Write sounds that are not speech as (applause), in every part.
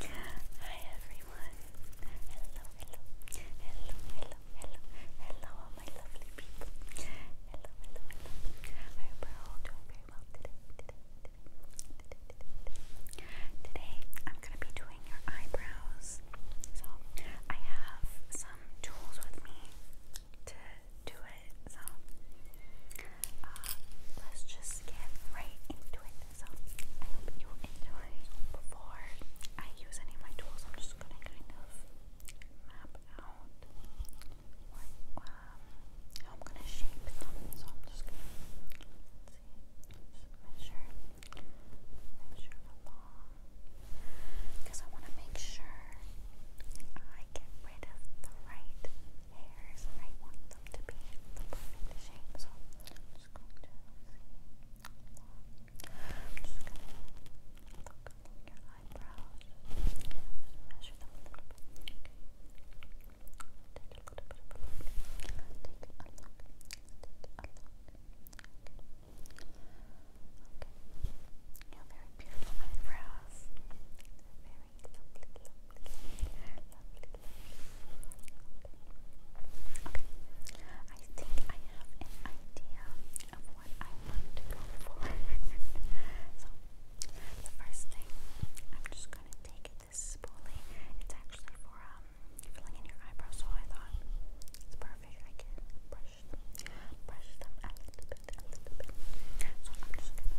Hi everyone. Hello, hello, hello, hello, hello, hello, all my lovely people. Hello, hello, hello. I hope we're all doing very well today. Today, I'm gonna be doing your eyebrows. So I have some tools with me to do it. So uh, let's just get right into it. So I hope you enjoy. Before I use any of my tools, I'm just gonna kind of map out what um, how I'm gonna shape them. So I'm just gonna let's see, just measure, measure along, because I want to make sure I get rid of the right hairs, the right ones them to be the perfect shape. So I'm just going to see. I'm just going to look along your eyebrows. Just measure them a little bit. Okay. Take a little bit of a look. Take a look. Take a look. Okay. Okay. You have very beautiful eyebrows. Very I think I have an idea of what I want to go for. so, the first thing, I'm just going to take this spoolie. It's actually for filling in your eyebrows, so I thought it's perfect. I can brush brush them a little bit, a little bit. So, I'm just going to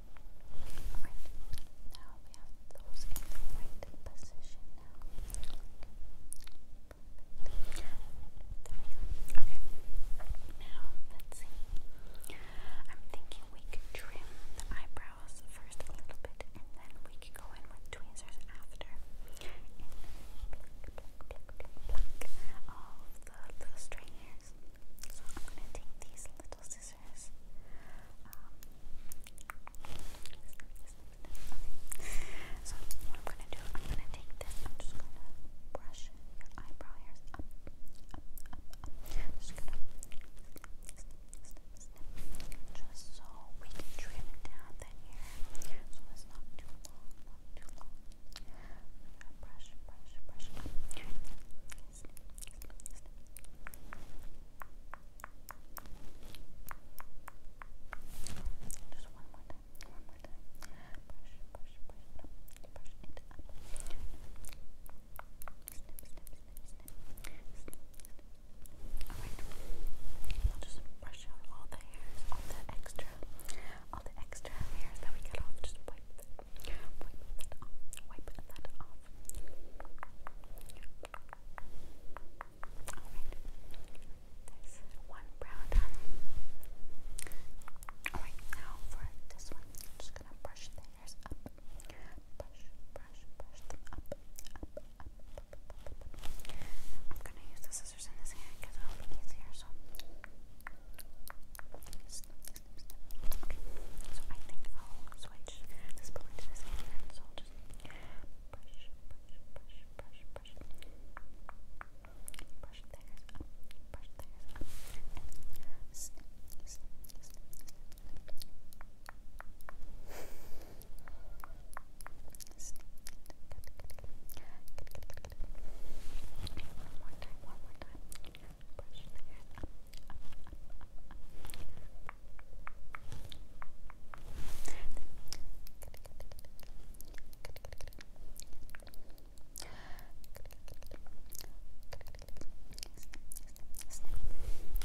Alright, now Okay. Now, let's see. I'm thinking we could trim the eyebrows first a little bit and then we could go in with tweezers after. pluck, pluck, pluck, pluck, pluck all the stray hairs. So I'm going to take these little little scissors. So I'm gonna do, I'm gonna take this. I'm just gonna brush your eyebrow hairs up, up, up, up. just gonna snip, snip, snip, just so we can trim down that hair, so it's not too long, not too long. brush, brush, brush just one more time. One more time. Push, push, push it up. Push it up. Snip, I'll just brush out all the hairs, all the extra, all the extra hairs that we cut off. Just wipe, Wipe that off. Alright. There's one brow done. Alright, now for this one, I'm just gonna brush the hairs up. Brush, brush, brush them up, up, up, up, up, I'm gonna use the scissors in this hand because it'll be easier, so so I think I'll switch this bullet to this hand, so I'll just brush, brush, brush, brush, brush, brush theirs up, brush theirs up, and snip, snip, snip, snip. snip. Good, good, good. Good, good, good, good. One more time, one more time brush the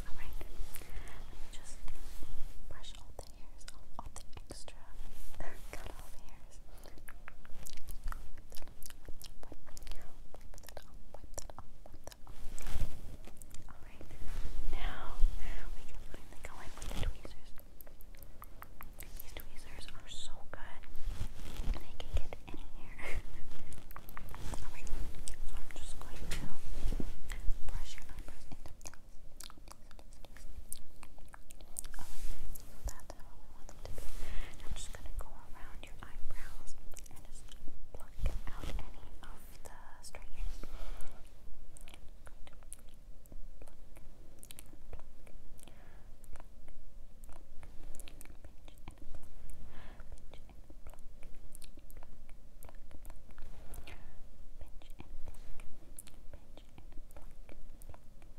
Alright, let me just brush all the hairs all the extra (laughs) cut off hair Alright, now we can go in with the tweezers. (laughs) These tweezers are so good. They can get any hair. (laughs) Alright, so I'm just going to brush your eyebrows into place so that's I'm just going to go around your eyebrows and just pluck out any of the stray hairs.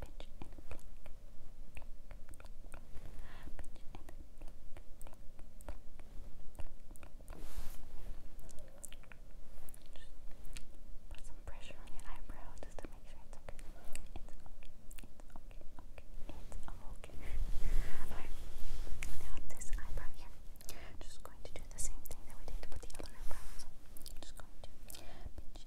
put some pressure on your eyebrow just to make sure it's okay. It's okay. It's okay. It's okay. Alright. Now this eyebrow here. Just going to do the same thing that we did with the other eyebrows. Just going to pinch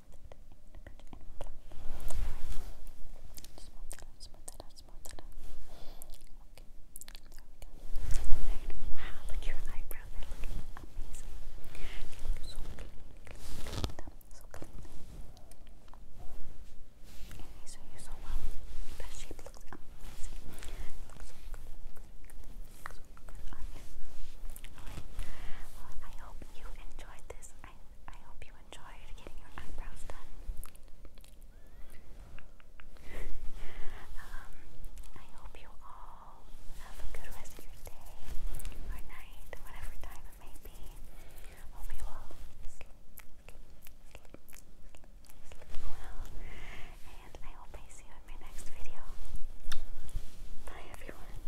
Wow, look your eyebrows are looking amazing. They look so clean, clean, clean, so clean. And these you so well. That shape looks amazing. looks so good, good, so good on you. I hope you enjoyed this I, hope you enjoyed getting your eyebrows done. um, I hope you all have a good rest of your day or night, whatever time it may be. Hope you all sleep, sleep, sleep, well. And I hope I see you in my next video. Bye, everyone.